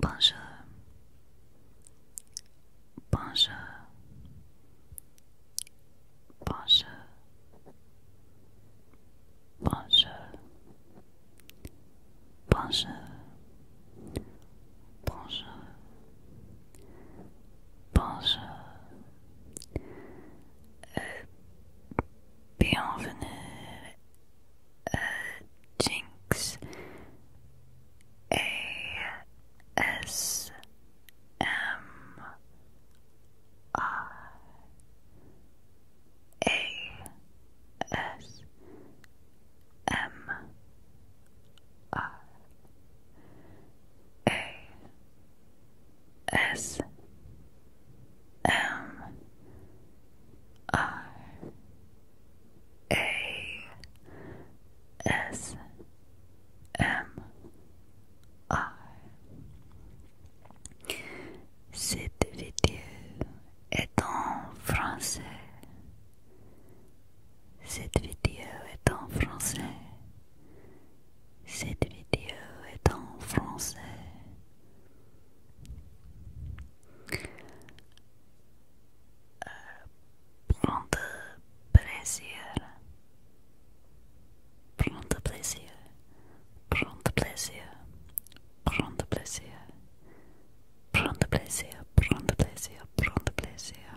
Bonjour. Bonjour. Bonjour. Bonjour. Bonjour. Bonjour. Bonjour. Euh, bienvenue à Jinx ASMR. M A S M A S M R A S M R Cette vidéo est en français. Cette vidéo est en français. Cette vidéo est en français. Prendre euh, plaisir. de plaisir. de plaisir. de plaisir. de plaisir. prends plaisir. de plaisir.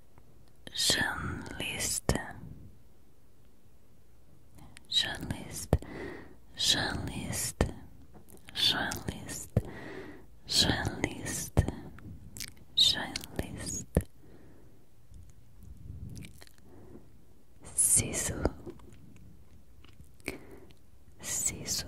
Journalist. Journalist. Journalist. Journalist. Journalist. Journalist. Sisu. Sisu.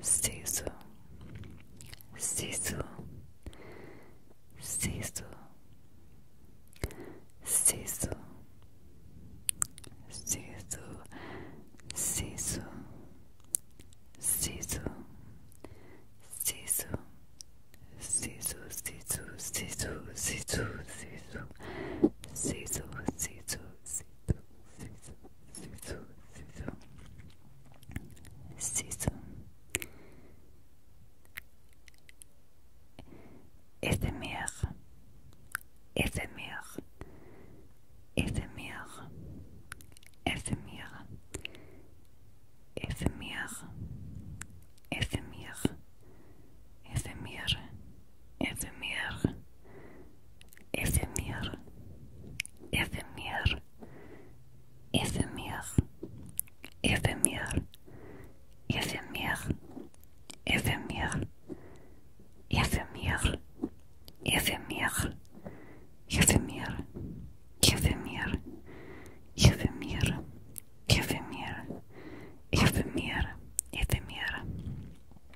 Sisu, Sisu, Sisu, Sisu, Sisu, Sisu, Sisu, Sisu, Sisu, Sisu, Sisu, Sisu, Sisu, Sisu, Sisu, Sisu, Sisu. Sisu, Sisu, Sisu. Ether, Ether, Ether, Ether, Ether, Ether, Ether, Ether, Ether, Ephemere, Ephemere, Ephemere, Ephemere, Ephemere, Ephemere, Ephemere, Ephemere, Ephemere, Ephemere, Ephemere, Ephemere, Ephemere, Ephemere,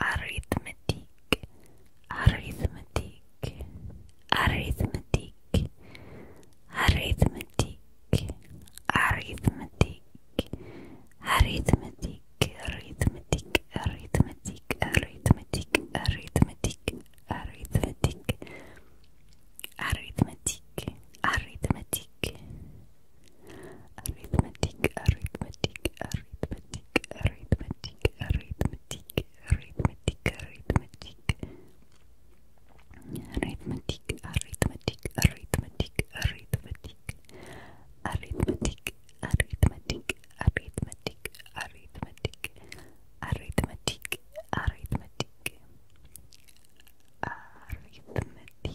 arithmetic, arithmetic, arithmetic, arithmetic, arithmetic, arithmetic, arithmetic, arithmetic, arithmetic, arithmetic, arithmetic, arithmetic, arithmetic, arithmetic, arithmetic, arithmetic, arithmetic, arithmetic, arithmetic, arithmetic, arithmetic, arithmetic, arithmetic, arithmetic, arithmetic, arithmetic, arithmetic, arithmetic,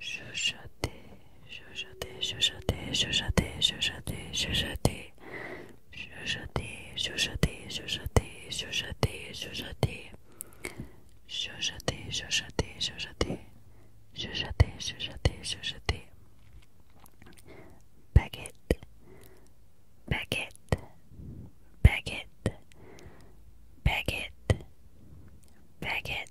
chuchoter, chuchoter, chuchoter, chuchoter, chuchoter, chuchoter, chuchoter, chuchoter, chuchoter, chuchoter, chuchoter, chuchoter, chuchoter, chuchoter, chuchoter, chuchoter, chuchoter, baguette, baguette, baguette, baguette, baguette.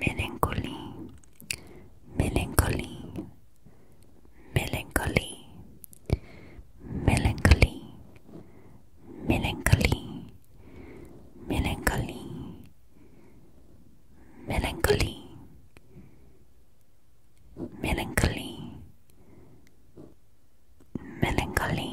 melancholy, melancholy, melancholy, melancholy, melancholy, melancholy, melancholy, melancholy, melancholy, melancholy.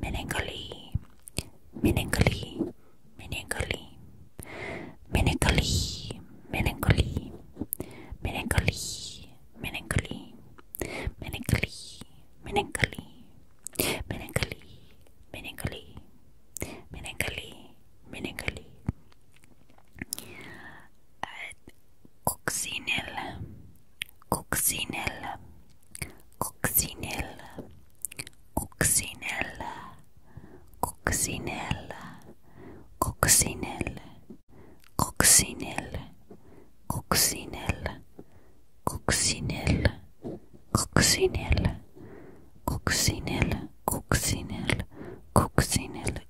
Melancholy, melancholy, melancholy, melancholy, melancholy, melancholy, melancholy, melancholy, melancholy, melancholy, melancholy, melancholy, melancholy. Coccinelle, Coccinelle, coccinelle, coccinelle, coccinelle, coccinelle, coccinelle, coccinelle, coccinelle, coccinelle, coccinelle, coccinelle, coccinelle, coccinelle,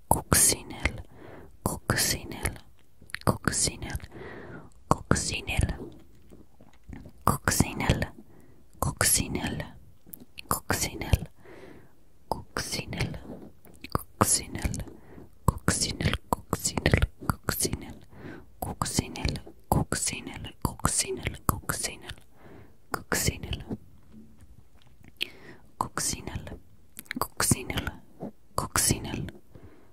coccinelle coccinelle, coccinelle, coccinelle, coccinelle, coccinelle, coccinelle, coccinelle, coccinelle, coccinelle, coccinelle, coccinelle, coccinelle, coccinelle, coccinelle, coccinelle. Coccinelle, coccinelle, coccinelle,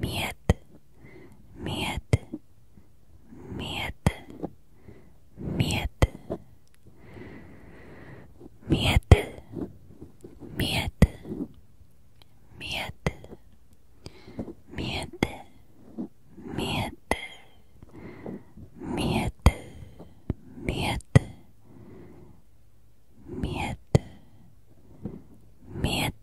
Miet, miet, miet, miet, miet, miet, miet, miet, miet, miet, miet, miet,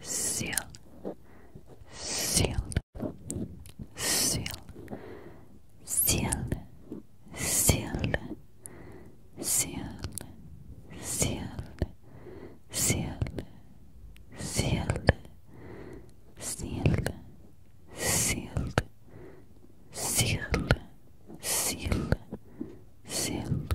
seal, sealed, sealed, sealed, sealed, sealed, sealed, sealed, sealed, sealed, sealed, sealed, sealed, sealed, sealed.